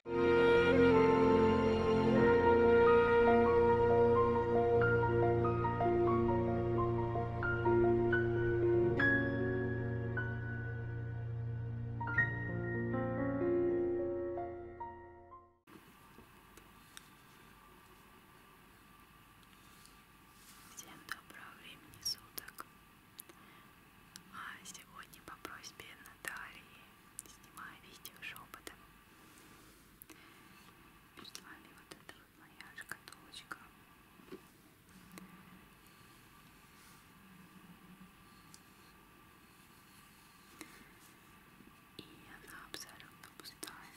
Всем доброго времени суток. А сегодня по просьбе Натальи снимаю видео шепотом. Перед вами вот эта вот моя шкатулочка. И она абсолютно пустая.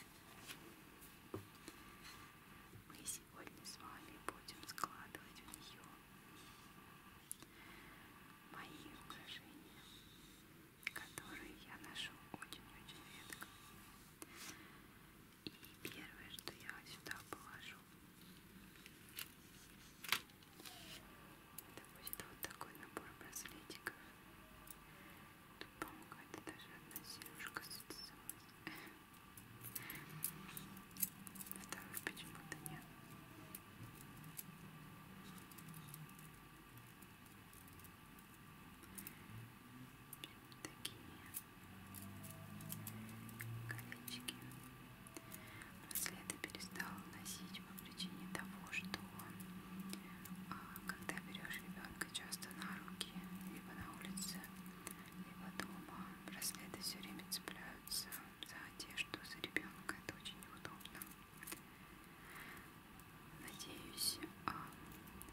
Мы сегодня с вами будем складывать в нее мои украшения, которые я ношу очень-очень редко. И первое, что я сюда положу, это будет вот такой набор браслетиков. Тут, по-моему, какая-то даже одна сережка сцепилась. Второй почему-то нет. Такие колечки. Браслеты перестала носить по причине того, что а, когда берешь ребенка часто на руки, либо на улице, либо дома, браслеты все время цепляются за одежду, за ребенка. Это очень неудобно. Надеюсь, а,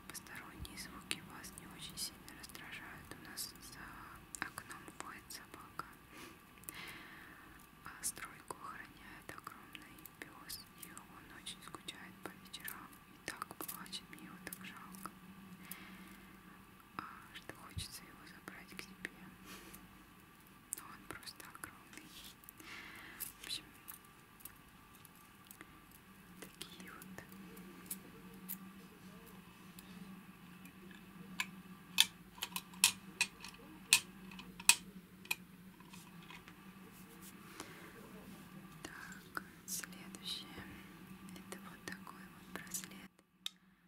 посторонние звуки вас не очень сильно раздражают. У нас за окном воет собака, а стройку охраняет огромный пес, и он очень скучает по вечерам и так плачет, мне его так жалко, а что хочется его забрать к себе но ну, он просто огромный. В общем, такие вот так, следующее это вот такой вот браслет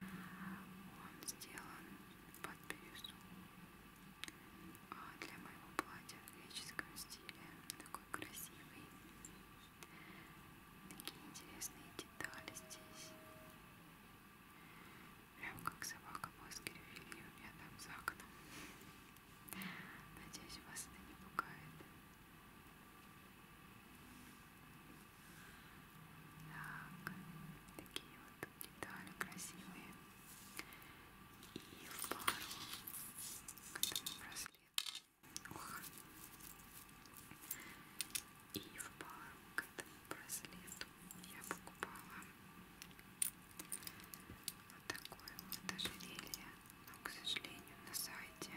он сделан под бирюзу а, для моего платья в греческом стиле. Такой красивый. Такие интересные детали здесь. Прям как собака Баскервилли у меня там за окном. Надеюсь, вас это не пугает. Так, такие вот детали красивые и в пару к этому браслету Ох. и в пару к этому браслету я покупала вот такое вот ожерелье но к сожалению на сайте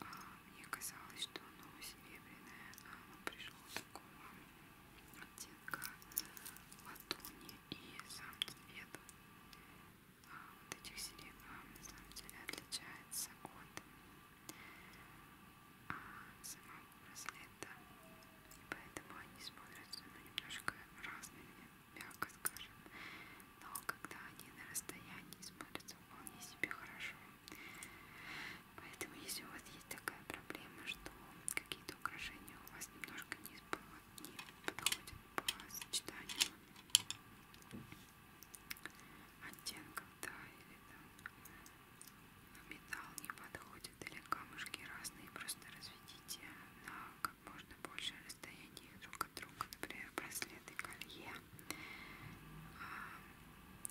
а, мне казалось, что оно серебряное, а оно пришло такого оттенка латуни и сам цвет а, вот этих сирен а, на самом деле отличается от а, самого браслета и поэтому они смотрятся ну, немножко разными, мягко скажем но когда они на расстоянии смотрятся вполне себе хорошо поэтому если у вас есть такая проблема, что какие-то украшения у вас немножко не, не подходят по сочетанию оттенков, да, или там металл не подходит, или камушки разные, просто разведите на как можно большее расстояние друг от друга, например, браслеты, колье, а,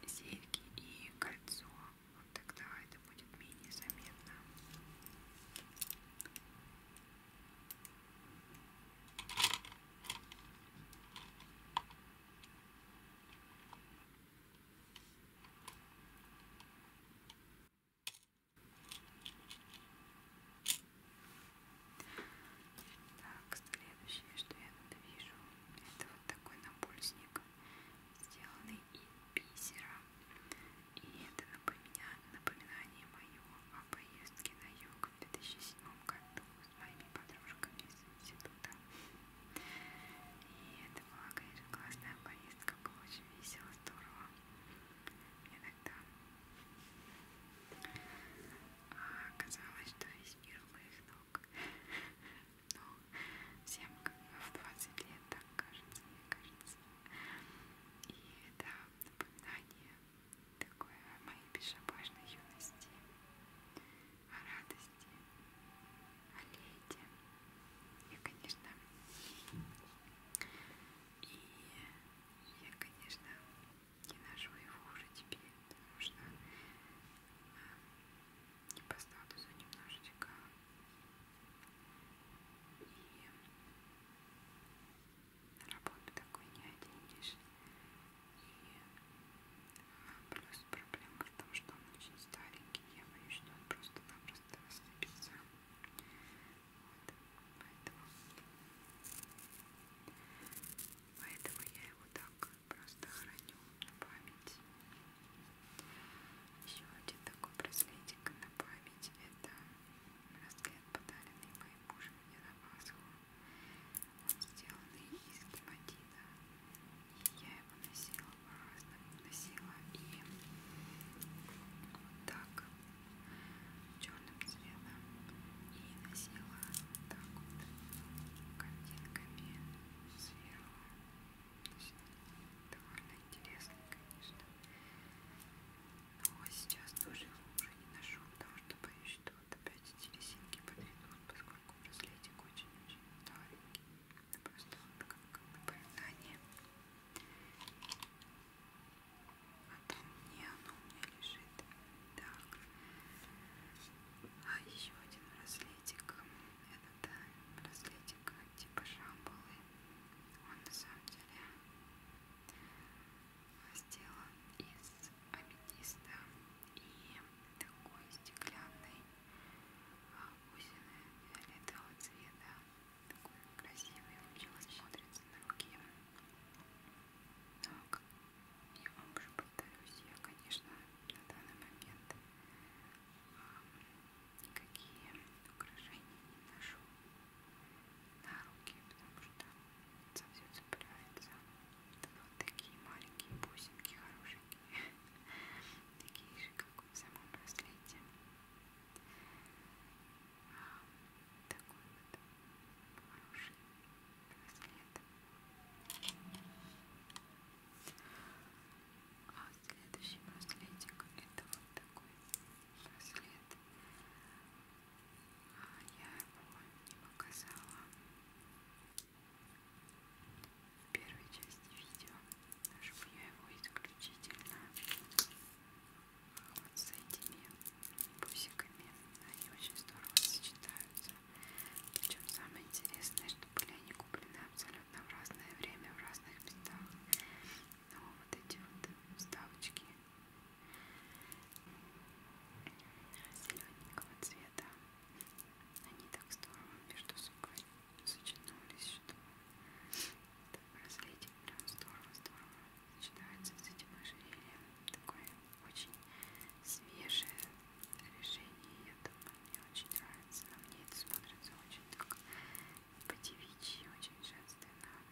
серьги и кольцо ну тогда это будет менее заметно. Так, следующее, что я тут вижу, это вот такой набульсник сделанный из бисера. И это напоминание мое о поездке на юг в 2007 году с моими подружками из института. И это была, конечно, классная поездка, было очень весело, здорово. Мне тогда казалось, что весь мир у моих ног. Но всем в 20 лет так кажется, мне кажется раз. И это напоминание такое о моей безшабашной юности, о радости, о лете. Я, конечно, и я, конечно, не ношу его уже теперь, потому что а, не по статусу немножечко а и на работу такой не оденешь. И плюс проблема в том, что он очень старенький. Я боюсь, что он просто-напросто рассыпется. Вот. Поэтому... Поэтому я его так просто храню на память. Еще один такой браслетик на память. Это браслет, подаренный моим мужем мне на Пасху. Он сделанный из гематита. И я его носила по-разному. Носила и вот так, черным цветом. И носила вот так вот картинками сверху довольно интересно, конечно. Но ну, а сейчас тоже уже не ношу, потому что боюсь, что вот опять эти резинки подведут, поскольку браслетик очень-очень старенький. Просто вот как напоминание. А там не оно у меня лежит. Так. А еще один браслетик. Это да, браслетик типа Шамбалы. Он на самом деле сделан из аметиста и такой стеклянной бусины а, фиолетового цвета. Такой красивый, вообще смотрится на руке. Так, я вам уже повторюсь, я, конечно, на данный момент а, никакие украшения не ношу на руки, потому что это все цепляется. Это вот такие маленькие бусинки хорошенькие, такие же, как в самом браслете. А, такой вот хороший браслет. А следующий браслетик это вот такой браслет а, я его не показала в первой части видео даже я его исключительно а, вот с этими бусиками они очень здорово сочетаются причем самое интересное что были они куплены абсолютно в разное время в разных местах но вот эти вот вставочки зелененького цвета они так здорово между собой сочетнулись, что этот браслетик прям здорово-здорово сочетается с этим ожерельем. Такое очень свежее решение, я думаю, мне очень нравится. На мне это смотрится очень так по девичьи очень женственно. Так.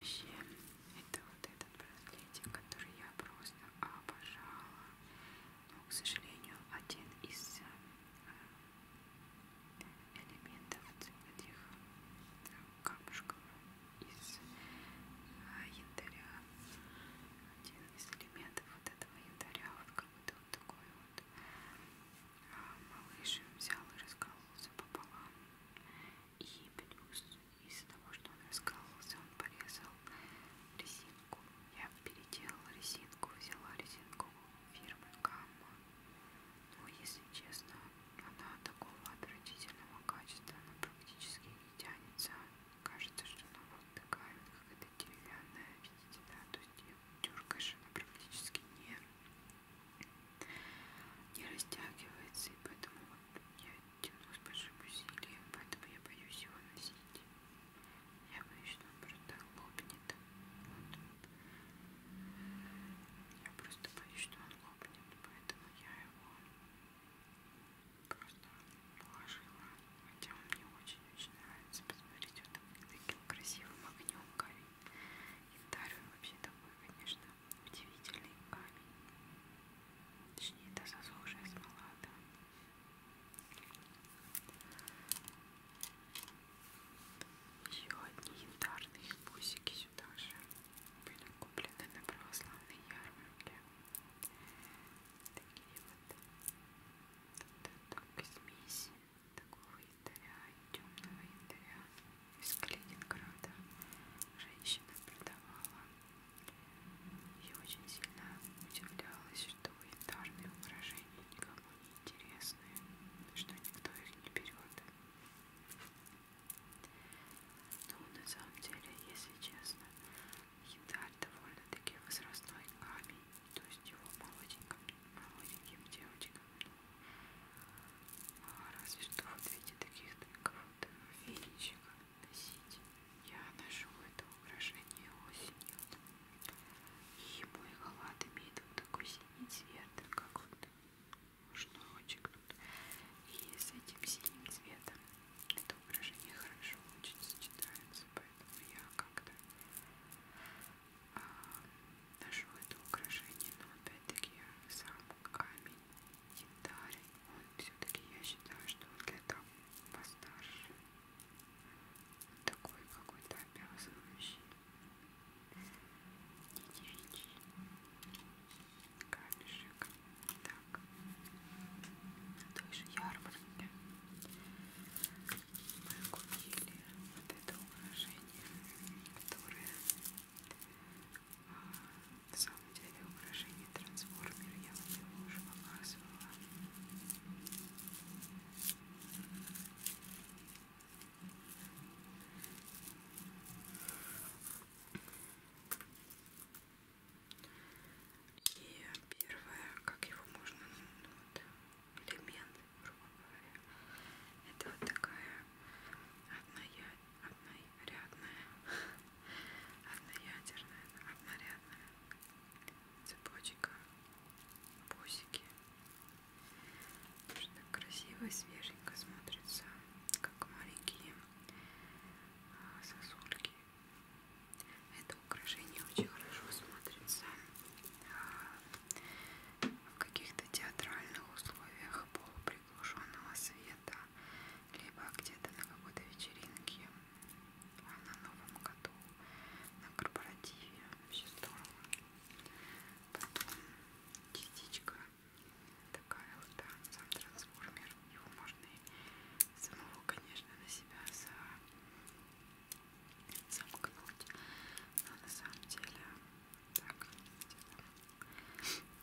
Вообще, это вот этот браслетик, который я просто обожала. Но, к сожалению, один из э, элементов этих э, камушков из а, янтаря. Один из элементов вот этого янтаря, вот как будто вот такой вот а, малыш взял и раскололся пополам. И плюс из того, что он раскололся, он порезал резинку. Я переделала резинку, взяла резинку фирмы Гамма. Но, ну, если честно, она такого отвратительного качества, она практически не тянется. Кажется, что она вот такая, как это деревянная, видите, да, то есть ее дергаешь, она практически не, не растягивается, и поэтому вот я тяну с большим усилием, поэтому я боюсь его носить. Я боюсь, что он просто лопнет. Вот. Я просто боюсь, что он лопнет, поэтому я его просто положила, хотя он мне очень-очень нравится. Посмотрите, вот таким красивым огнем горит. Янтарь вообще такой, конечно, удивительный камень. Точнее, это засохшая смола, да. Еще одни янтарные бусики сюда же были куплены на православной ярмарке. Такие вот, вот это, смеси такого янтаря и темного янтаря из Калининграда. Женщина продавала и очень сильно удивлялась, что янтарные украшения никому не интересны, что никто их не берет. Ну, на самом деле, если честно, янтарь довольно-таки возрастной камень, то есть его молоденьким, молоденьким девочкам, ну, а разве что вот видите таких только вот финичек носить. Я ношу это украшение осенью. И мой халат имеет вот такой синий цвет, как вот шнурочек и с этим синим цветом это украшение хорошо очень сочетается поэтому я как-то а, нашел это украшение но опять-таки сам камень янтарь он все-таки я считаю что он для того постарше он такой какой-то обязывающий не девичий камешек. Так. На той же ярмарке мы купили вот это украшение, которое а, на самом деле украшение трансформер. Я вам его уже показывала. И первое, как его можно, ну, вот, элемент, грубо говоря, это вот такая одноя... однорядная, одноядерная, однорядная цепочка, бусики. Очень так красиво и свеженько смотрится, как маленькие сосульки. Это украшение очень хорошо смотрится а, в каких-то театральных условиях полуприглушенного света, либо где-то на какой-то вечеринке, а на Новом году, на корпоративе. Вообще здорово. Потом частичка Такая вот, да, сам трансформер. Его можно и самого, конечно, на себя за... замкнуть. Но на самом деле, так,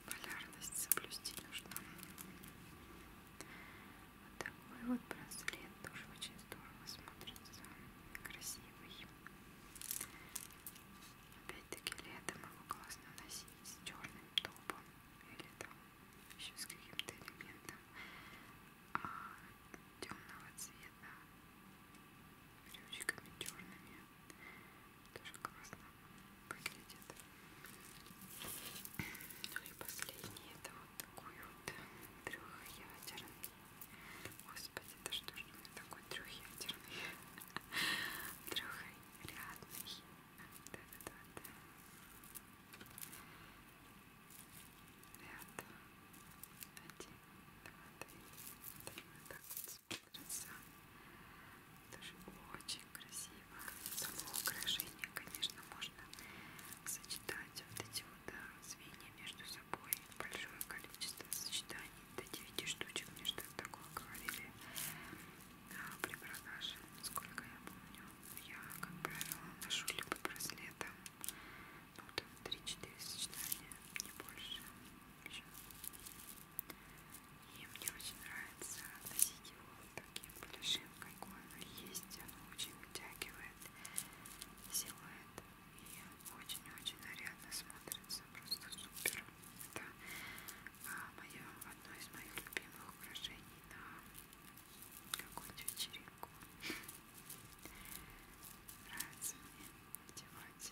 полярность соблюсти нужно. Вот такой вот браслет тоже очень здорово смотрится. Красивый. Опять-таки летом его классно носить с черным топом или там еще с каким-то элементом а темного цвета брючками черными тоже классно выглядит ну и последний это вот такой вот трехъядерный господи да что ж у меня такой трехъядерный трехрядный Рядом. Один, два, три. три. Вот так вот смотрится. Тоже очень красиво. Само украшение, конечно, можно сочетать вот эти вот да, звенья между собой. Большое количество сочетаний до 9 штучек, мне что-то такое говорили. Припродаже, сколько я помню, я, как правило, ношу либо браслетом, ну там 3-4 сочетания, не больше. Еще. И мне очень нравится носить его таким плюшем, какой он есть. Оно очень вытягивает силуэт и очень-очень нарядно смотрится. Просто супер. Это а, мое одно из моих любимых украшений на какую-то вечеринку. Нравится мне одевать.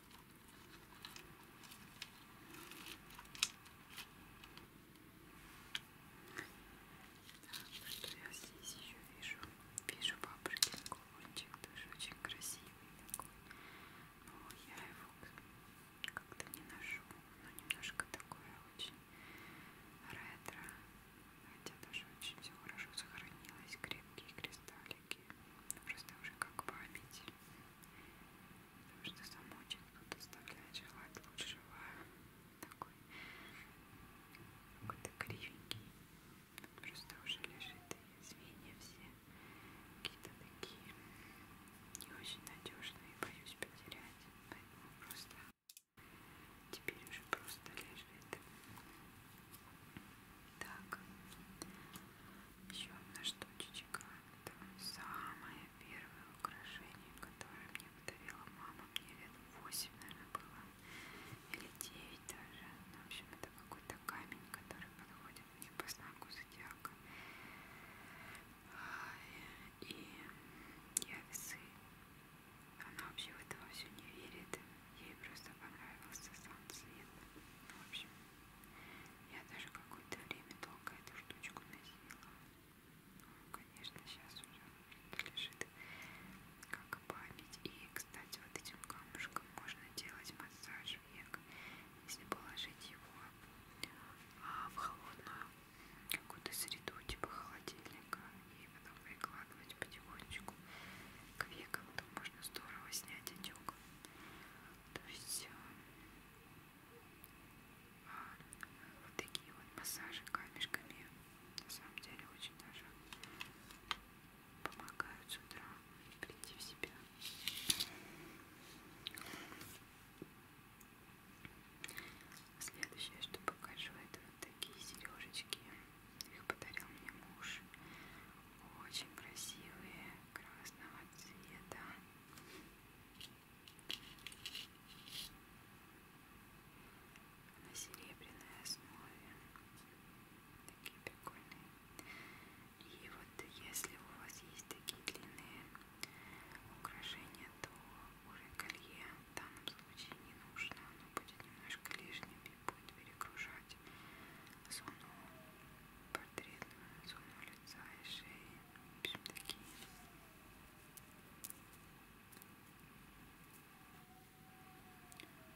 Так, что я здесь еще вижу? Вижу бабушкин кулончик, тоже очень красивый такой. Но я его как-то не ношу. Но немножко такое очень ретро. Хотя даже очень все хорошо сохранилось. Крепкие кристаллики такие, просто уже как память, потому что сам очень тут оставляет желать лучшего, такой какой-то кривенький, просто уже лежит и звенья все какие-то такие не очень надежные, боюсь потерять, поэтому просто теперь уже просто лежит. Так, еще одна штучечка. Это самое первое украшение, которое мне подарила мама. Мне лет 8, наверное, было. Или 9 даже. Ну, в общем, это какой-то камень, который подходит мне по знаку зодиака. А, и я весы. Она вообще в этого все не верит. Ей просто понравился сам цвет. Ну, в общем, я даже какое-то время долго эту штучку носила. Ну, конечно, сейчас уже лежит как память. И, кстати, вот этим камушком можно делать массаж век, если положить его а, в холодную какую-то среду, типа холодильника, и потом прикладывать потихонечку к векам, то можно здорово снять отек. То есть э, вот такие вот массажи камешками на самом деле очень даже помогают с утра прийти в себя. Следующее, что покажу, это вот такие сережечки. Их подарил мне муж. Очень красивые, красного цвета на серебряной основе. Такие прикольные. И вот если у вас есть такие длинные украшения, то уже колье в данном случае не нужно. Оно будет немножко лишним и будет перегружать зону портретную, зону лица и шеи. В общем, такие.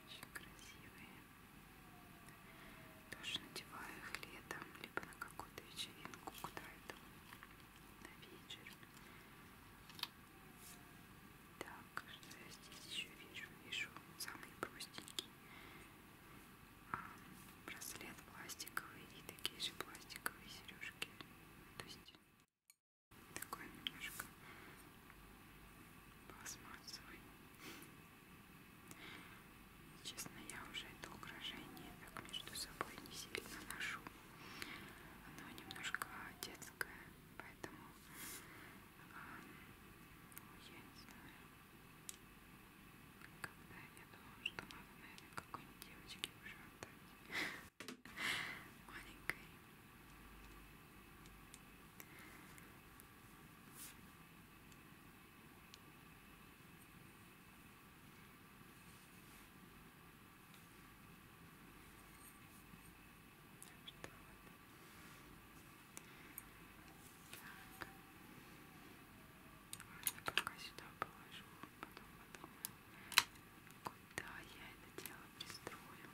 Очень красивые. Тоже надеваю их летом, либо на какую-то вечеринку, куда-то на вечер. Так, что я здесь еще вижу? Вижу самый простенький браслет пластиковый и такие же пластиковые сережки. То есть такой немножко пластмассовый. Честно, я уже это украшение так между собой не сильно ношу. Оно немножко детское, поэтому а, ну, я не знаю когда я думала, что надо, наверное, какой-нибудь девочке уже отдать маленькой что вот. Так. Я пока сюда положу, потом подумаю, куда я это дело пристрою.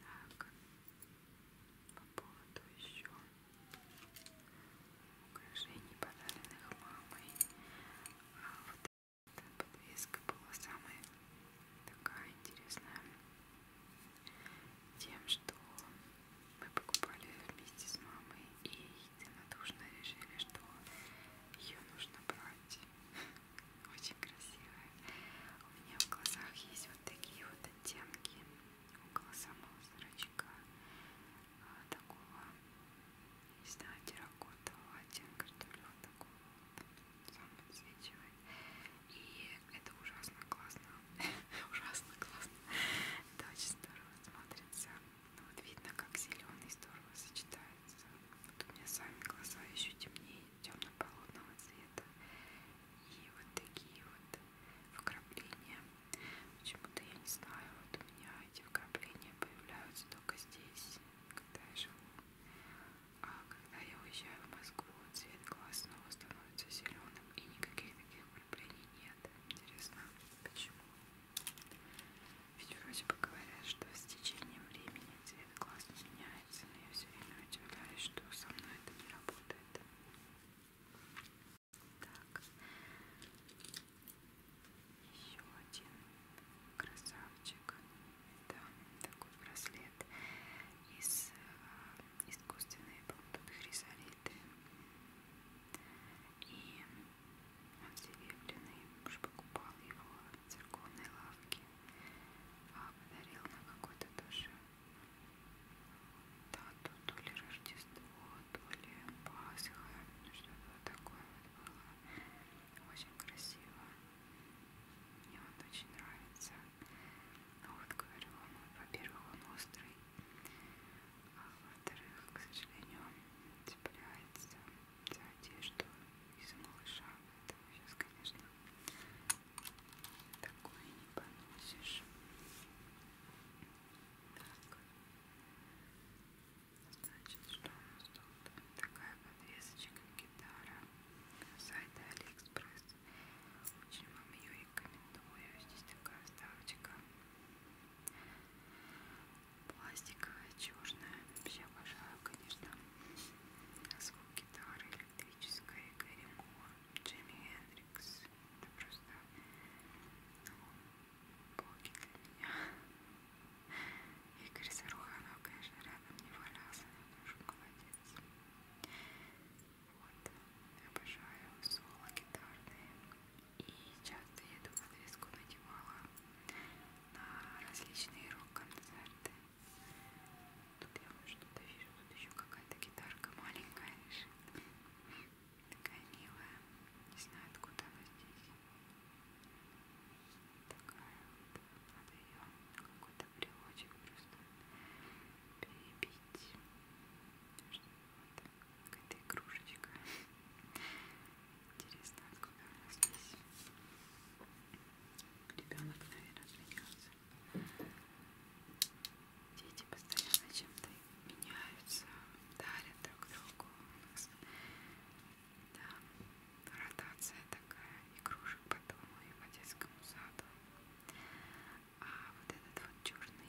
Так, по поводу еще украшений, подаренных мамой. А вот эта подвеска была самая такая интересная тем, что мы покупали вместе с мамой и единодушно решили, что ее нужно брать. Очень красивая. У меня в глазах есть вот такие вот оттенки около самого зрачка. А, такого, не знаю, терракотового оттенка, что ли, вот такого вот. Сам подсвечивает. И это ужасно классно Ужасно классно. Это очень здорово смотрится. Ну, вот видно, как зеленый здорово сочетается. Вот у меня сами глаза еще темнее, темно-полотного цвета. И вот такие вот вкрапления. Почему-то я не знаю, вот у меня эти вкрапления появляются только здесь, когда я живу. А когда я уезжаю в Москву, цвет глаз снова становится зеленым и никаких таких влюблений нет. Интересно, почему? Ведь вроде бы говорят, что с течением времени цвет глаз не меняется, но я все время удивляюсь, что со мной это не работает. Так, еще один красавчик. Это такой браслет из э, искусственной, по-моему, хризолиты и он серебряный, муж покупал его в церковной лавке, а подарил на какой-то тоже дату, то ли Рождество, то ли Пасха, что-то вот такое вот было, очень красиво, мне он очень нравится, ну вот говорю, он, во-первых, он острый, а во-вторых, к сожалению, он цепляется за одежду из малыша, поэтому сейчас, конечно, такое не поносишь. Так. Значит, что у нас тут? Такая подвесочка, гитара сайта Алиэкспресс. Очень вам ее рекомендую. Здесь такая ставочка пластиковая, черная. Вообще обожаю, конечно, а звук гитары электрической, Гэри Мур, Джимми Хендрикс. Это просто ну, боги для меня. Игорь Саруханов, конечно, рядом не валялся, но тоже молодец. Вот, обожаю соло гитарные. И часто я эту подвеску надевала на различные рок-концерты. Тут я вот что-то вижу, тут еще какая-то гитарка маленькая лежит. Такая милая. Не знаю, откуда она здесь. Такая вот. Надо ее какой-то брелочек просто перебить. Чтобы вот какая-то игрушечка. Интересно, откуда она здесь. Ребенок, наверное, смеется. Дети постоянно чем-то меняются, дарят друг другу. Да, ротация такая игрушек по дому и по детскому саду. А вот этот вот черный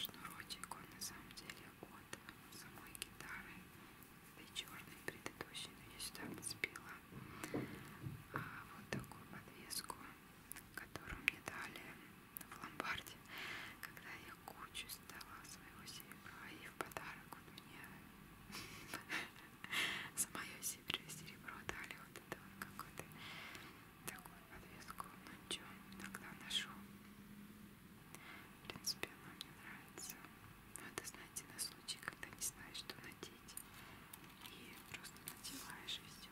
Шнурочек он на самом деле от самой гитары. Да и черный предыдущий, но я сюда подцепила а, вот такую подвеску, которую мне дали в ломбарде, когда я кучу сдала своего серебра и в подарок вот мне за мое серебро дали вот это вот какую-то такую подвеску, ну ничего, иногда ношу в принципе, она мне нравится. Но это, знаете, на случай, когда не знаешь, что надеть. И просто надеваешь и все.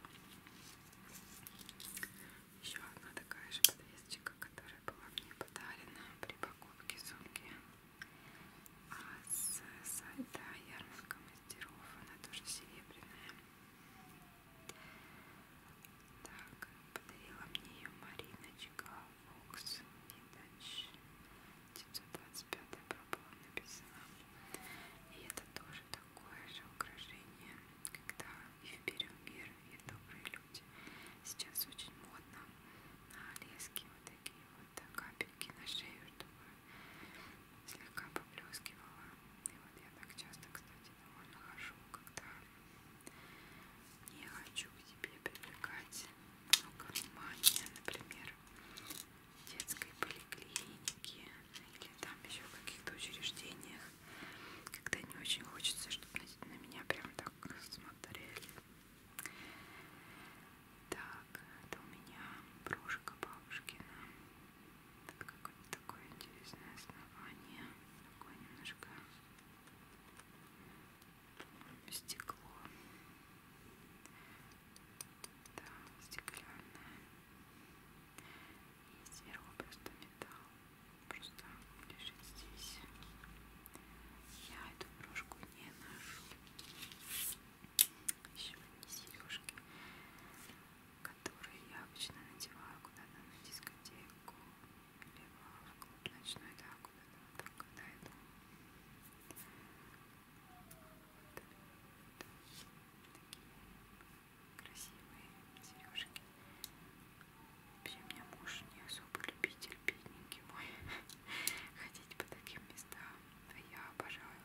Еще одна такая же подвесочка, которая была мне подарена при покупке сумки. А с сайта ярмарка мастеров она тоже серебряная. Так, подарила мне ее Мариночка Фокс. И дальше 925 пробовала написана. И это тоже такое же украшение, когда и в мир, и добрые люди. Сейчас очень модно на леске вот такие вот капельки на шею, чтобы слегка поблескивала. И вот я так часто, кстати, кстати, довольно хорошо, когда не хочу к тебе привлекать много внимания, например, детской поликлиники или там еще в каких-то учреждениях, когда не очень хочется, чтобы на меня прям так смотрели. Так, это у меня брошка бабушкина. Тут какое-то такое интересное основание. Такое немножко стекло да, стеклянное и сверху просто металл просто лежит здесь я эту брошку не ношу еще одни сережки которые я обычно надеваю куда-то на дискотеку либо в клуб ночной, да, куда-то вот так, когда иду. Вот, такие красивые сережки. Вообще, у меня муж не особо любитель, бедненький мой, ходить по таким местам. А я обожаю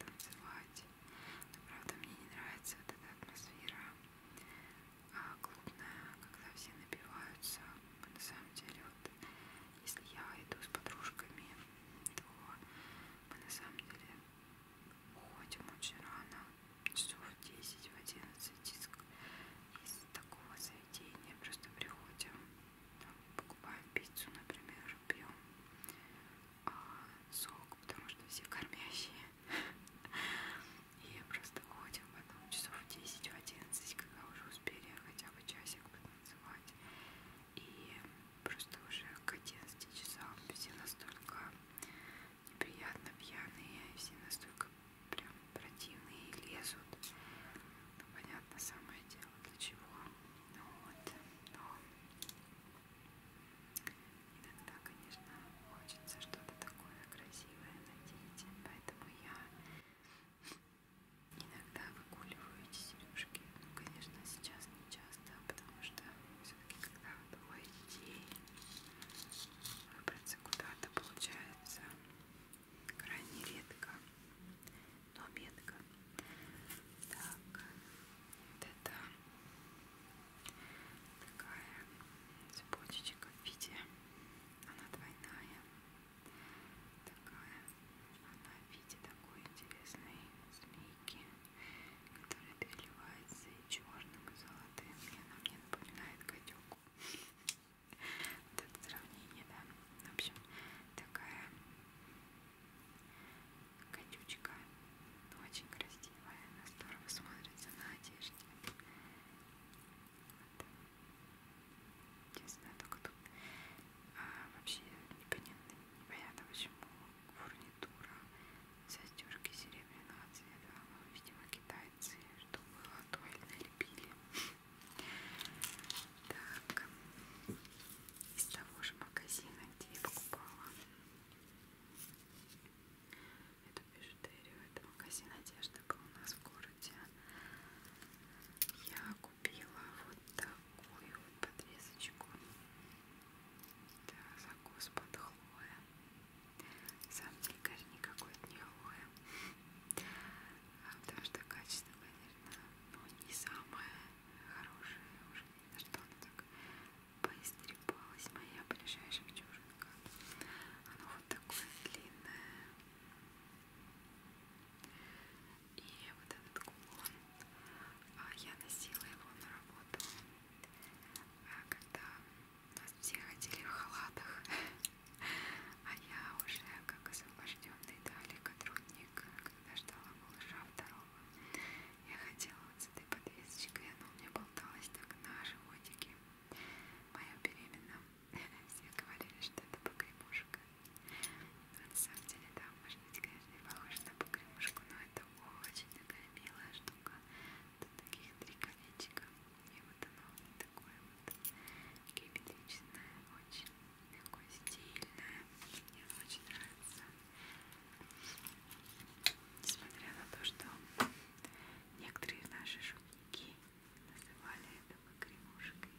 танцевать. Но, правда, мне не нравится вот эта атмосфера а, клубная, когда все напиваются. На самом деле, вот если я иду с подружками, то мы на самом деле уходим очень рано, часов в 10, в 11 из, из такого заведения. Просто приходим, там, покупаем пиццу, например, пьем а, сок, потому что все кормящие и просто уходим потом часов в 10 в 11, когда уже успели хотя бы часик потанцевать. И просто уже к 11 часам все настолько неприятно пьяные, все настолько прям противные и лезут. Ну, понятно, самое дело, для чего. Ну вот, но иногда, конечно, хочется что-то такое красивое надеть, поэтому я иногда выгуливаю эти сережки. Ну, конечно, сейчас не часто, потому что все-таки когда двое детей выбраться куда-то получается крайне редко, но метко. Так, вот это такая цепочечка в виде она двойная такая она в виде такой интересной змейки которая переливается и черным и золотым и она мне напоминает гадюку вот это сравнение да в общем такая гадючка очень красивая она здорово смотрится на одежде вот. Единственное, только тут а, вообще непонятно, непонятно почему фурнитура, застежки серебряного цвета, ну, видимо, китайцы, что было, то и налепили. Так, из того же магазина, где я покупала эту бижутерию. Это магазин одежды был у нас в городе. Я купила вот такую вот подвесочку. Это закус под хлоя. Сам дикарь никакой от не хлоя. А потому что качество, наверное, ну, не самое хорошее. Уже видно, что она так поистрепалась. Моя ближайшая девчонка. Оно вот такое длинное. И вот этот кулон, а, я носила его на работу, а, когда нас все ходили в халатах, а я уже как освобожденный далеко трудник, когда ждала малыша второго, я хотела вот с этой подвесочкой, она у меня болталась так на животике, моя беременна. Все говорили, что это покремушка. Но на самом деле, да, может быть, конечно, не похоже на покремушку, но это очень такая милая штука. Тут таких три колечка. И вот оно такое вот геометричное, очень такое стильное. Мне оно очень нравится. Несмотря на то, что некоторые наши шутники Называли это погремушкой.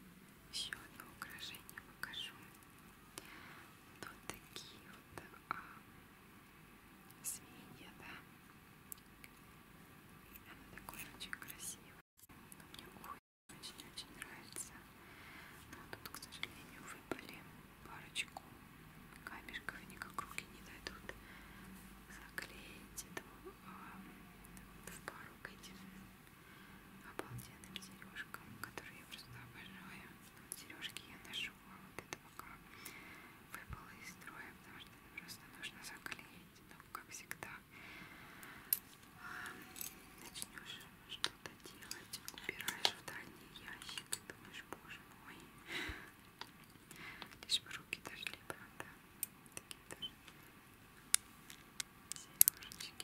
Еще одно украшение покажу. Вот такие вот а, свинья, да. Она такой очень красивая. Но мне очень-очень нравится. Но тут, к сожалению, выпали парочку камешков, никак руки не дойдут заклеить. Думаю, в пару к этим обалденным сережкам, которые я просто обожаю. Сережки я ношу, а вот это пока выпало из строя, потому что это просто нужно заклеить. Но, ну, как всегда, начнешь что-то делать, убираешь в дальний ящик и думаешь, боже мой, лишь бы руки дошли, правда? Такие тоже сережечки красивые очень.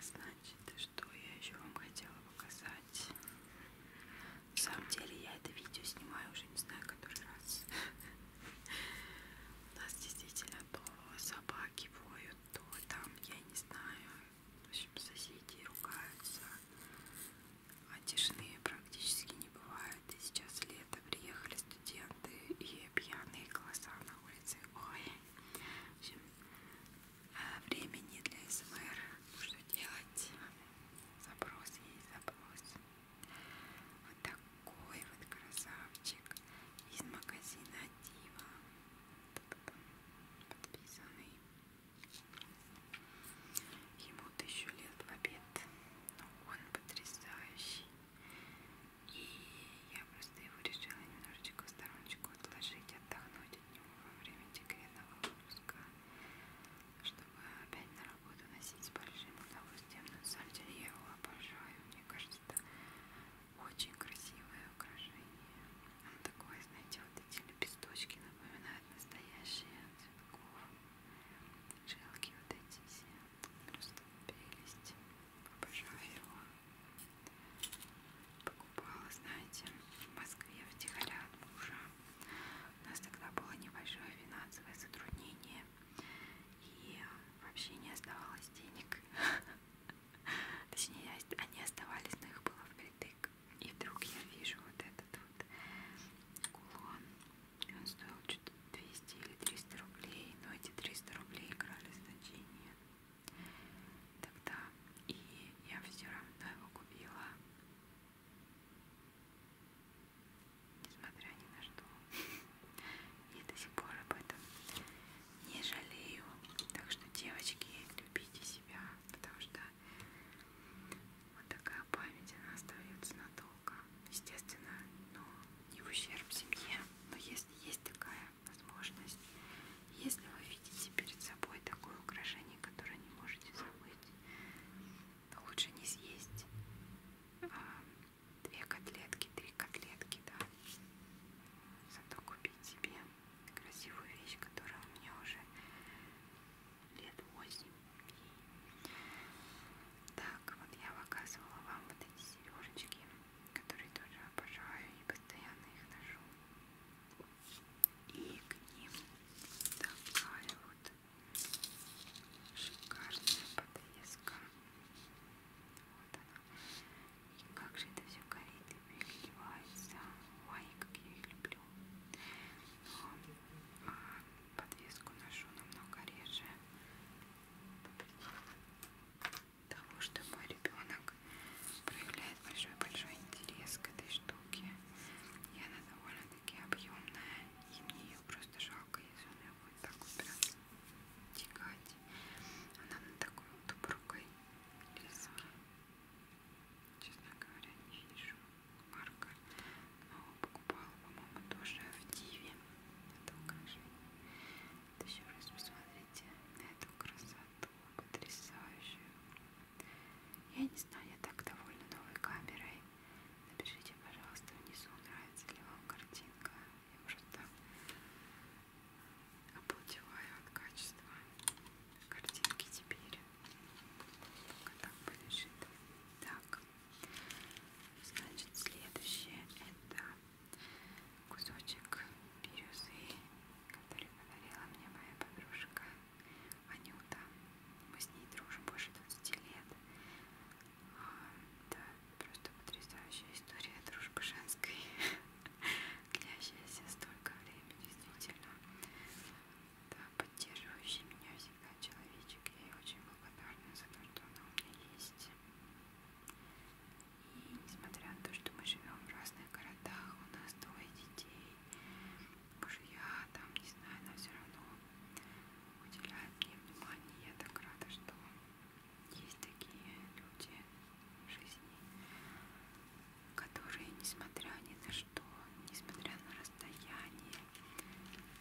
Значит, что я еще вам хотела показать? На самом деле я это видео снимаю уже не знаю который раз. У нас действительно то собаки воют, то там, я не знаю, в общем, соседи ругаются. А тишины практически не бывает. И сейчас лето приехали студенты и пьяные голоса на улице. Ой, в общем, э, времени для СМР. Что делать? Запрос есть запрос. Вот так какой вот красавчик из магазина Дива. Подписанный. Ему тысячу лет в обед. Но он потрясающий. И я просто его решила немножечко в стороночку отложить, отдохнуть от него во время декретного выпуска, чтобы опять на работу носить с большим удовольствием. Но на самом деле я его обожаю. Мне кажется, очень красивое украшение. Он такой, знаете, вот эти лепесточки напоминают настоящие от цветков. Жилки вот эти все. Просто прелесть. Обожаю его. Покупала, знаете, в Москве втихаря от мужа. У нас тогда было небольшое финансовое затруднение. И вообще не оставалось денег. Точнее, они оставались, но их было впритык. И вдруг я вижу вот этот вот кулон. Он стоил что-то 200 или 300 рублей, но эти 300 рублей играли значение тогда. И я все равно его купила. Несмотря ни на что. Я до сих пор об этом не жалею. Так что, девочки, любите себя, потому что вот такая память, она остается надолго. Естественно, но ну, не в ущерб семье. Но если есть такая возможность, если вы видите перед собой такое украшение, которое не можете забыть, то лучше не съесть, а две котлетки, три котлетки, да. Зато купить себе красивую вещь, которая у меня уже лет восемь. Так, вот я показывала вам вот эти сережечки, которые тоже обожаю и постоянно их ношу. И к ним такая вот шикарная подвеска. Вот она и как же это все горит и переливается. Ой, как я их люблю. Но а, подвеску ношу намного реже. Того, что мой ребенок проявляет большой-большой интерес к этой штуке. И она довольно-таки объемная. И мне ее просто жалко, если она будет так убирать достигать. Она на такой вот упругой леске. Честно говоря, не вижу марка. Но покупала, по-моему, тоже в Диве. Это украшение. Вот еще раз посмотрите на эту красоту потрясающую. Я не знаю, я так довольна новой камерой. Напишите, пожалуйста, внизу, нравится ли вам картинка. Я просто обалдеваю от качества картинки теперь. Пока так полежит. Так. Значит, следующее это кусочек бирюзы, который подарила мне моя подружка Анюта. Мы с ней дружим больше 20 лет. Это а, Просто потрясающая история дружбы женской, длящаяся столько времени, действительно. Да, поддерживающий меня всегда человечек. Я ей очень благодарна за то, что она у меня есть. И несмотря на то, что мы живем в разных городах, у нас двое детей, мужья, там, не знаю, она все равно уделяет мне внимание. Я так рада, что есть такие люди в жизни, которые, несмотря ни на что, несмотря на расстояние,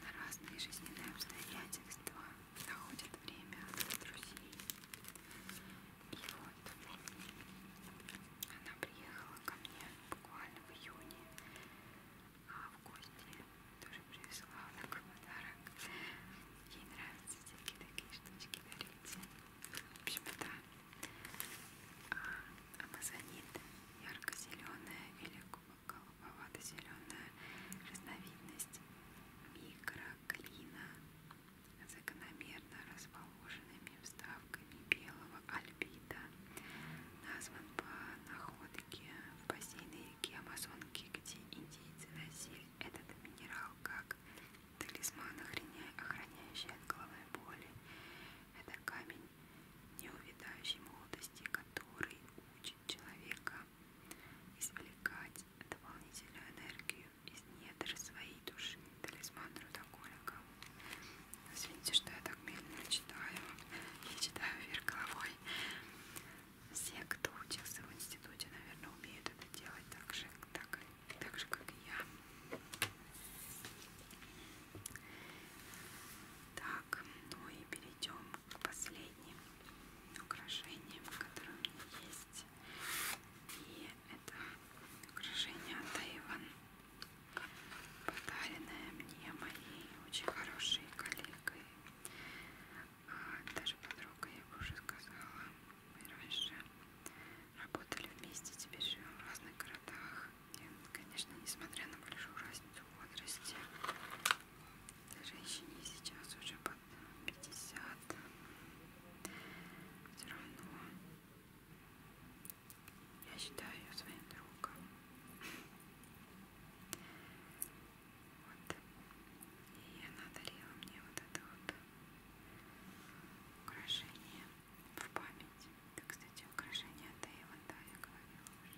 на разные жизненные обстоятельства, находят время для друзей. И вот она приехала ко мне буквально в июне, а в гости тоже привезла такой подарок. Ей нравятся всякие такие штучки дарить. В общем, да. А, амазонит ярко-зеленая или голубовато-зеленая разновидность микроклина закономерно расположенными вставками белого альбита назван по находке в бассейне реки Амазонки, где индейцы носили этот минерал как талисман, охраняющий от головной боли. Это камень неувидающей молодости, который учит человека извлекать дополнительную энергию из недр своей души. Талисман трудоголика. Извините, что я так медленно читаю. Я читаю вверх головой. Все, кто учился в институте, наверное, умеют это делать так же, так так же, как и я. Так, ну и перейдем к последним украшениям, которые у меня есть. И это украшение от Эйвен, подаренное мне моей очень хорошей коллегой, а, даже подругой, я бы уже сказала. Мы раньше работали вместе, теперь живем в разных городах. И, конечно, несмотря на большую разницу в возрасте, женщине сейчас уже под 50. Все равно я считаю ее своим другом. Вот. И она дарила мне вот это вот украшение в память. Это, кстати, украшение от Эйвонда, я говорила уже.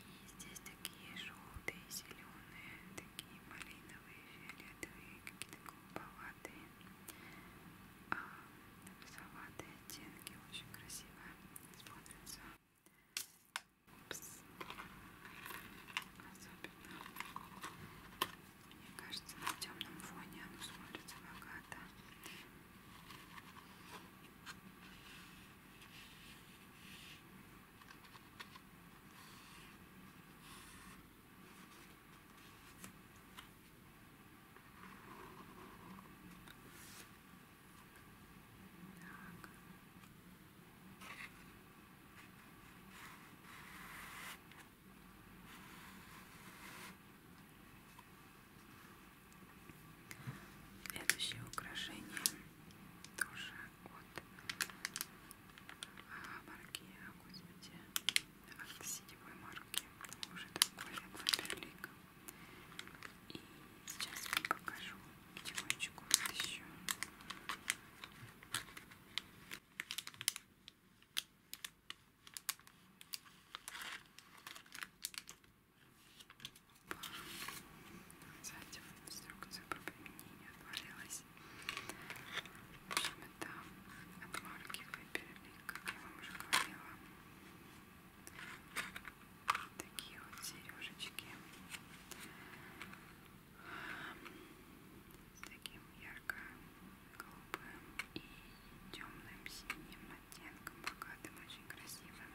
И здесь такие желтые, зеленые, такие малиновые, фиолетовые, какие-то голубоватые, а розоватые оттенки. Очень красиво смотрится. Упс. Особенно мне кажется, на темном фоне оно смотрится богато. Так. Следующее украшение тоже от а, марки, а, господи, от сетевой марки, уже такой Фаберлик. И сейчас вам покажу потихонечку вот еще. Сзади инструкция по применению отвалилась. В общем, это от марки выберли, как я вам уже говорила. Такие вот сережечки с таким ярко-голубым и темным синим оттенком, богатым, очень красивым.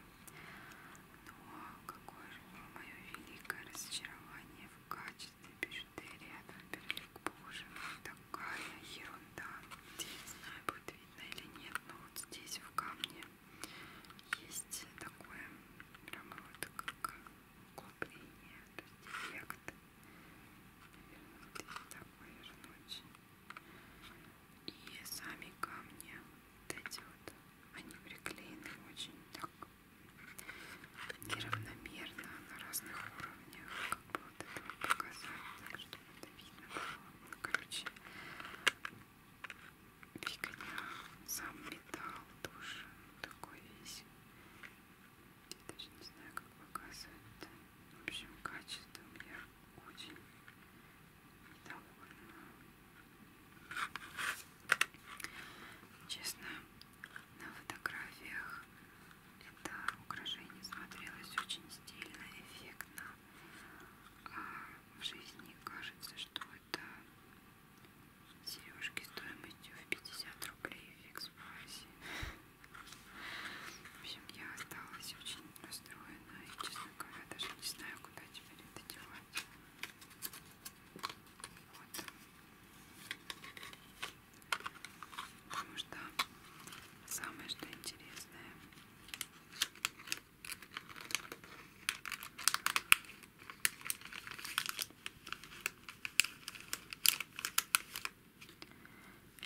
Но какое же было мое великое разочарование в качестве бижутерии от Фаберлик Боже мой, такая ерунда. Не знаю, будет видно или нет, но вот здесь в камне есть такое прям вот как углубление, то есть эффект такой же ночи. И сами камни вот эти вот, они приклеены очень так неравномерно на разных уровнях, как бы вот это вот показать, так чтобы это видно было. Ну, короче, фигня, сам металл тоже такой весь даже не знаю как показывать -то. в общем качеством я очень недовольна честно на фотографиях это украшение смотрелось очень стильно эффектно а в жизни кажется что это сережки стоимостью в 50 рублей в экспрессе в общем, я осталась очень расстроена и, честно говоря, даже не знаю, куда теперь это девать. Вот. Потому что самое, что интересное,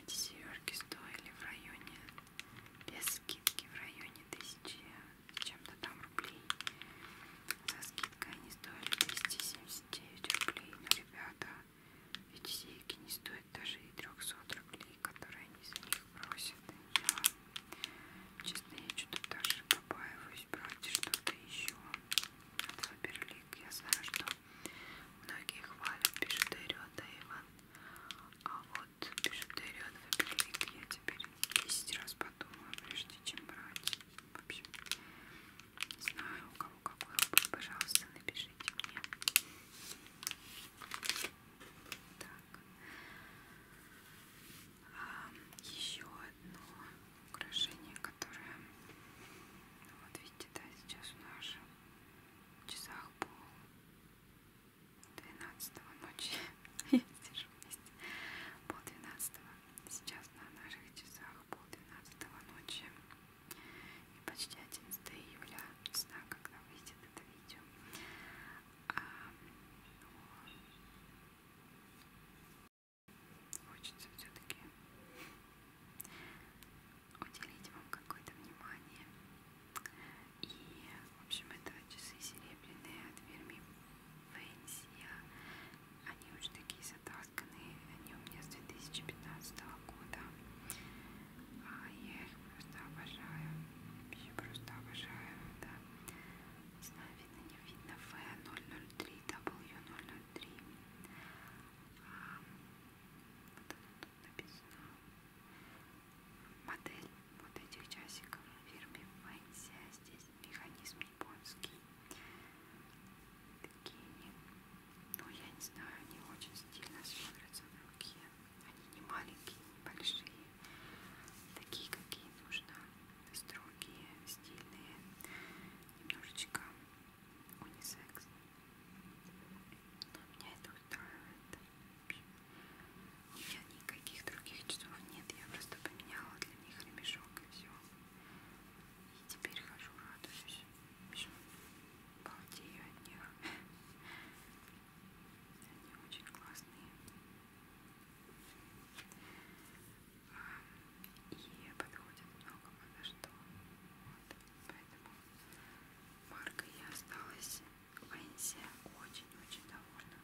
эти сережки стоили в районе, без скидки, в районе тысячи чем-то там рублей. За скидкой они стоили 279 рублей. Но, ребята, эти сейки не стоят даже и 300 рублей, которые они за них просят. Я, честно, я что-то даже побаиваюсь брать что-то еще от Фаберлик. Я знаю, что Многие хвалят, пишет Эриот Айван. А вот, пишет Эриот Фаберлик, я теперь 10 раз подумаю, прежде чем брать. В общем, не знаю, у кого какой опыт, пожалуйста, напишите мне. Так. А, еще одно украшение, которая, ну вот видите, да, сейчас у нас в часах пол 12 ночи, я сижу вместе, пол 12 сейчас на наших часах пол 12 ночи и почти 11 июля, не знаю, когда выйдет это видео. А, ну, хочется все-таки уделить вам какое-то внимание. И, в общем, это часы серебряные от фирмы Фэнсия. Они уже такие затасканные, они у меня с 2015 года. А я их просто обожаю. Вообще просто обожаю, да. Не знаю, видно, не видно. F003, W003. Вот оно тут написано. Модель вот этих часиков фирме Вэнси. Здесь механизм японский. Такие они. Ну, я не знаю, они очень стильно смотрятся на руке. Они не маленькие, не большие. Такие, какие нужно. Строгие, стильные. Немножечко унисекс. Но меня это устраивает. У меня никаких других часов нет. Я просто поменяла для них ремешок и все. И теперь хожу, радуюсь. Еще балдею от них. Они очень классные. И подходит много подо что. Вот. Поэтому маркой я осталась в Венсе очень-очень довольна.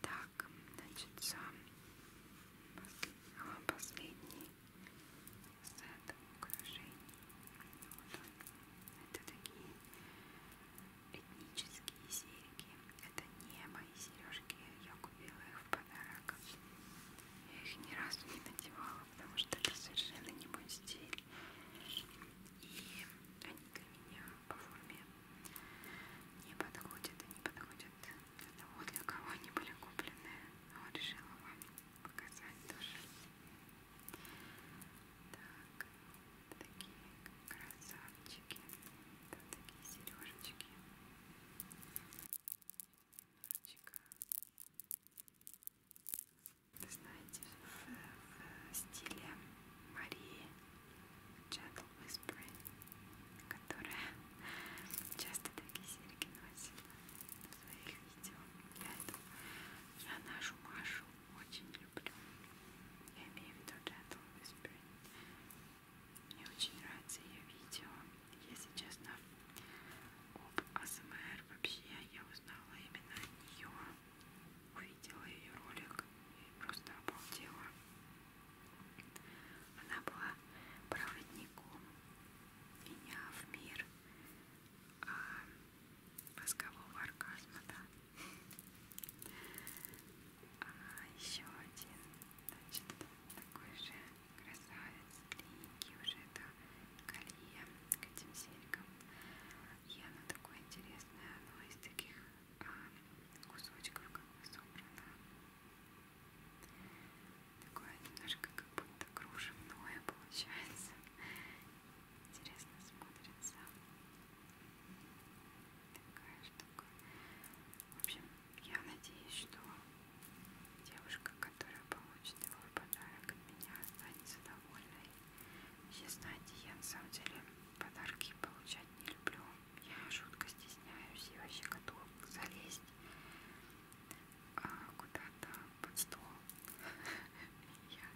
Так, значит, сам последний сет украшений. Вот он. Это такие этнические серьги. Это не мои сережки. Я купила их в подарок. Я их ни разу не надевала потому что это совершенно не мой стиль. И они для меня по форме не подходят и не подходят для того, для кого они были куплены. Вот а решила вам показать тоже. Так, такие красавчики, там такие сережечки. Ручка, вы знаете, в, в стиле Марии Gentle Whispering, которая часто такие серьги носит в своих видео. Я, эту, я нашу Машу очень люблю. Я имею в виду Gentle Whispering. Мне очень нравится ее видео. Если честно, об АСМР вообще я узнала именно от нее, увидела ее ролик и просто обалдела. Она была проводником меня в мир а, мозгового оргазма, да. А еще один, значит, такой же красавец, длинненький уже, да, колье к этим серькам. И оно такое интересное, оно из таких а, кусочков как бы собрано. Такое немножко как будто кружевное получается. Интересно смотрится. Такая штука. В общем, я надеюсь, что Девушка, которая получит его подарок от меня, останется довольной. Все знаете, я на самом деле подарки получать не люблю. Я жутко стесняюсь и вообще готова залезть а, куда-то под стол. Я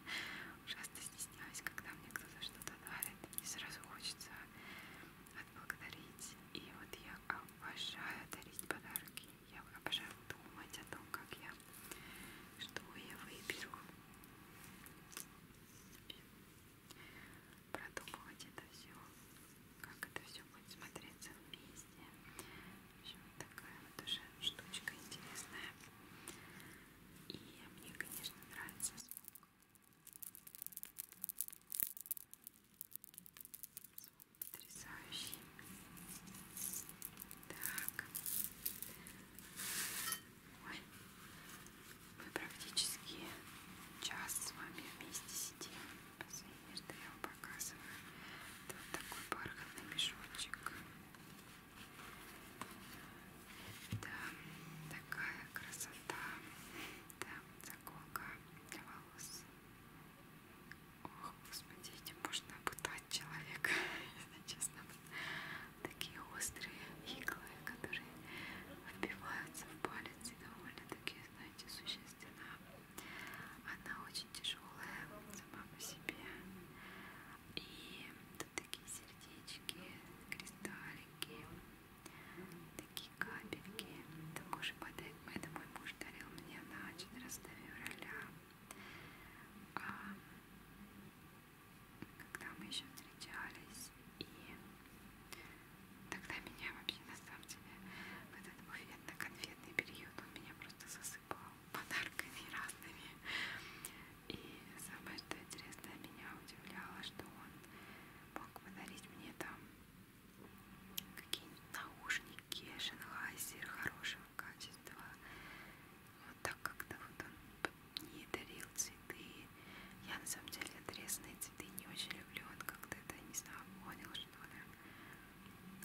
ужасно стесняюсь, когда мне кто-то что-то дарит, и сразу хочется отблагодарить. И вот я обожаю дарить подарки. Я обожаю думать о том, как я, что я выберу. Продумывать это все, как это все будет смотреться вместе. В общем, такая вот уже штучка интересная. И мне, конечно, нравится звук. Звук потрясающий. Так. Ой. Мы практически час с вами вместе сидим. Последний, что я вам показываю. Это вот такой бархатный мешочек. Это такая красота. Да, заколка для волос. Ох, господи, этим можно пытать человека, если честно. Такие острые иглы, которые вбиваются в палец и довольно-таки, знаете, существенно. Она очень тяжелая сама по себе. И тут такие сердечки, кристаллики, такие капельки. Такой же подарок мой муж дарил мне на 14 февраля когда мы еще встречались, и тогда меня вообще на самом деле в этот буфетно-конфетный период он меня просто засыпал подарками разными. И самое что интересное меня удивляло, что он мог подарить мне там какие-нибудь наушники, шенхайзер хорошего качества, так как-то вот он не дарил цветы. Я на самом деле отрезанные цветы не очень люблю. Он как-то это, не знаю, понял, что ли.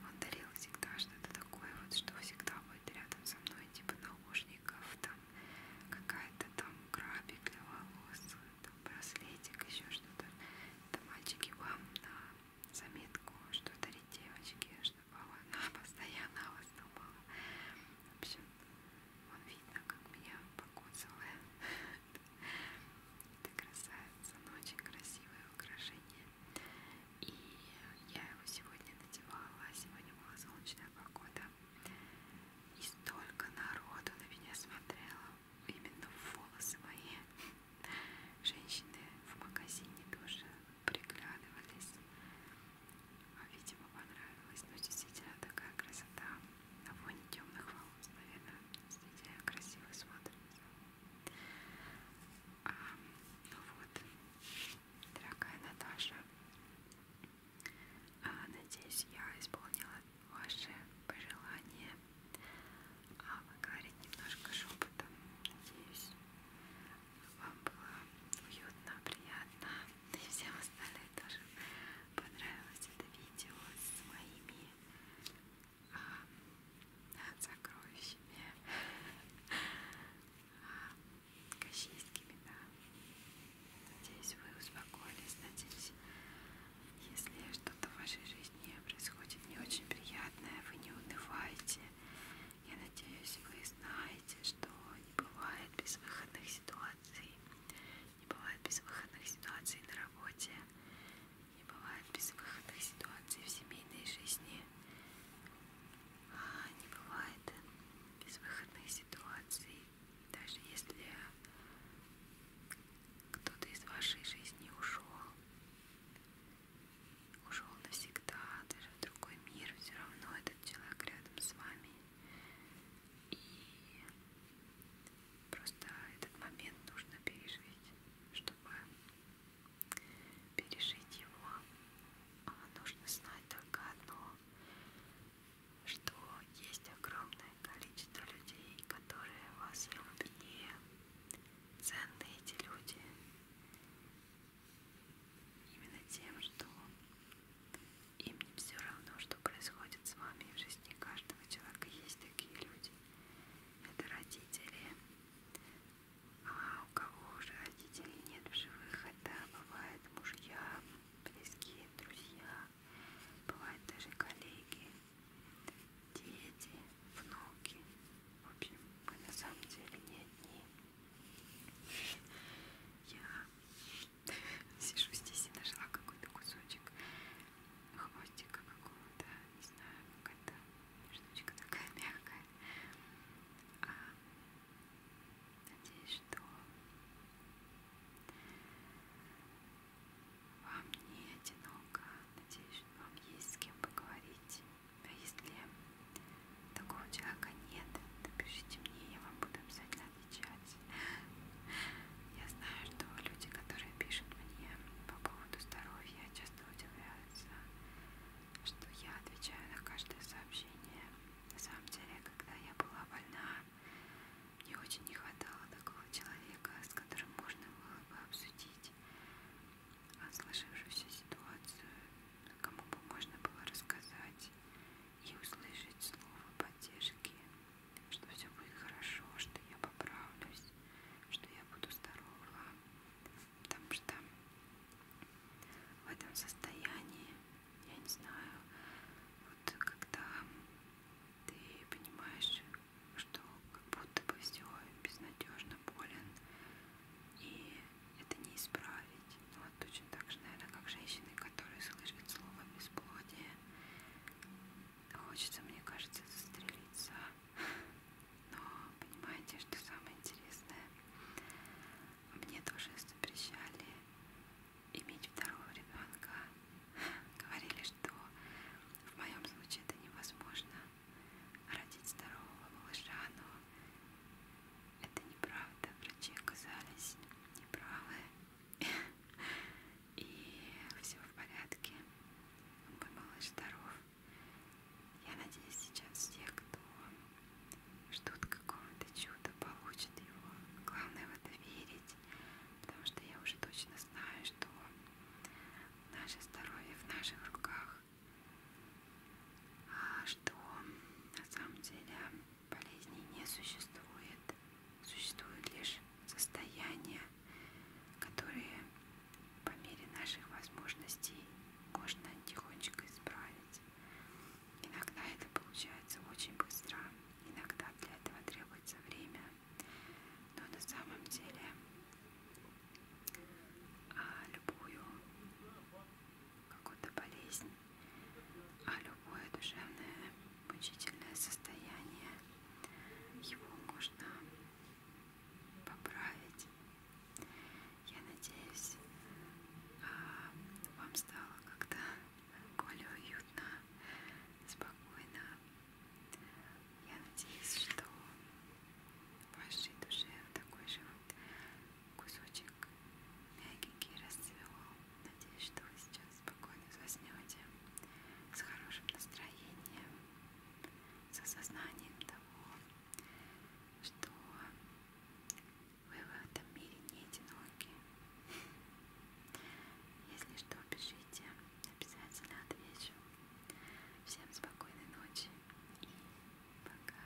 Он дарил всегда что-то такое, вот что всегда будет рядом со мной, типа наушников, там какая-то там крабик для волос, там браслетик, еще что-то. Это мальчики вам на заметку, что дарить девочки, конечно, было, но постоянно о вас думала. В общем, он видно, как меня покусывает. Это красавица, но ну, очень красивое украшение. И я его сегодня надевала, сегодня была солнечная погода. И столько народу на меня смотрело, именно волосы мои. Женщины в магазине тоже приглядывались. А, видимо, понравилось. Но ну, действительно такая красота на фоне темных волос, наверное, действительно красиво смотрится. А, ну вот, дорогая Наташа, а, надеюсь, я исполнила ваши пожелания. А вы говорите немножко шепотом, надеюсь вам было уютно, приятно и всем остальным тоже понравилось это видео с моими а, сокровищами а, кащейскими, да. Надеюсь, вы успокоились, надеюсь, если что-то в вашей жизни происходит не очень приятное, вы не унываете я надеюсь, вы знаете, что не бывает безвыходных ситуаций. Не бывает безвыходных ситуаций на работе. Не бывает безвыходных ситуаций в семейной жизни. А не бывает безвыходных ситуаций, даже если кто-то из вашей жизни ушел ушел навсегда, даже в другой мир, все равно этот человек рядом с вами. И просто этот момент нужно пережить, чтобы пережить его. А нужно знать только одно, что есть огромное количество людей, которые вас любят. Ценны эти люди. Именно тем, что им не все равно, что происходит с вами в жизни каждого человека. Есть такие люди. Это родители. А у кого уже родителей нет в живых, это бывает мужья, близкие друзья, бывают даже коллеги, дети, внуки. В общем, мы на самом деле не одни. Я сижу здесь и нашла какой-то кусочек хвостика какого-то, не знаю, какая-то штучка такая мягкая. А, надеюсь, что вам не одиноко. Надеюсь, что вам есть с кем поговорить. А если такого человека нет, напишите мне, я вам буду обязательно отвечать. Я знаю, что люди, которые пишут мне по поводу здоровья, часто удивляются, что я отвечаю на каждое сообщение. На самом деле, когда я была больна, мне очень не хватало такого человека, с которым можно было бы обсудить сложившуюся ситуацию кому бы можно было рассказать и услышать слово поддержки, что все будет хорошо, что я поправлюсь, что я буду здорова, потому что в этом состоянии, я не знаю, вот когда ты понимаешь, что как будто бы все безнадежно болен, и это не исправить. Ну, вот точно так же, наверное, как женщины, которые слышат слово бесплодие. Хочется, мне кажется, застрелиться. Но понимаете, что самое интересное? Мне тоже запрещали иметь второго ребенка. Говорили, что в моем случае это невозможно родить здорового малыша, но это неправда, врачи оказались неправы. И все в порядке. Мой малыш здоров. Я надеюсь, сейчас те, кто ждут какого-то чуда, получат его. Главное в это верить, потому что я уже точно знаю, что наше здоровье в наших руках. А что на самом деле Болезней не существует. Существуют лишь состояния, которые по мере наших возможностей можно тихонечко исправить. Иногда это получается очень быстро, иногда для этого требуется время. Но на самом деле а, любую какую-то болезнь а любое душевное мучительное состояние его можно поправить. Я надеюсь, а, вам стало как-то более уютно, спокойно. Я надеюсь, что в вашей душе такой же вот кусочек мягенький расцвел. Надеюсь, что вы сейчас спокойно заснете с хорошим настроением, с осознанием того, что вы в этом мире не одиноки. Если что, пишите, обязательно отвечу. Всем спокойной ночи и пока.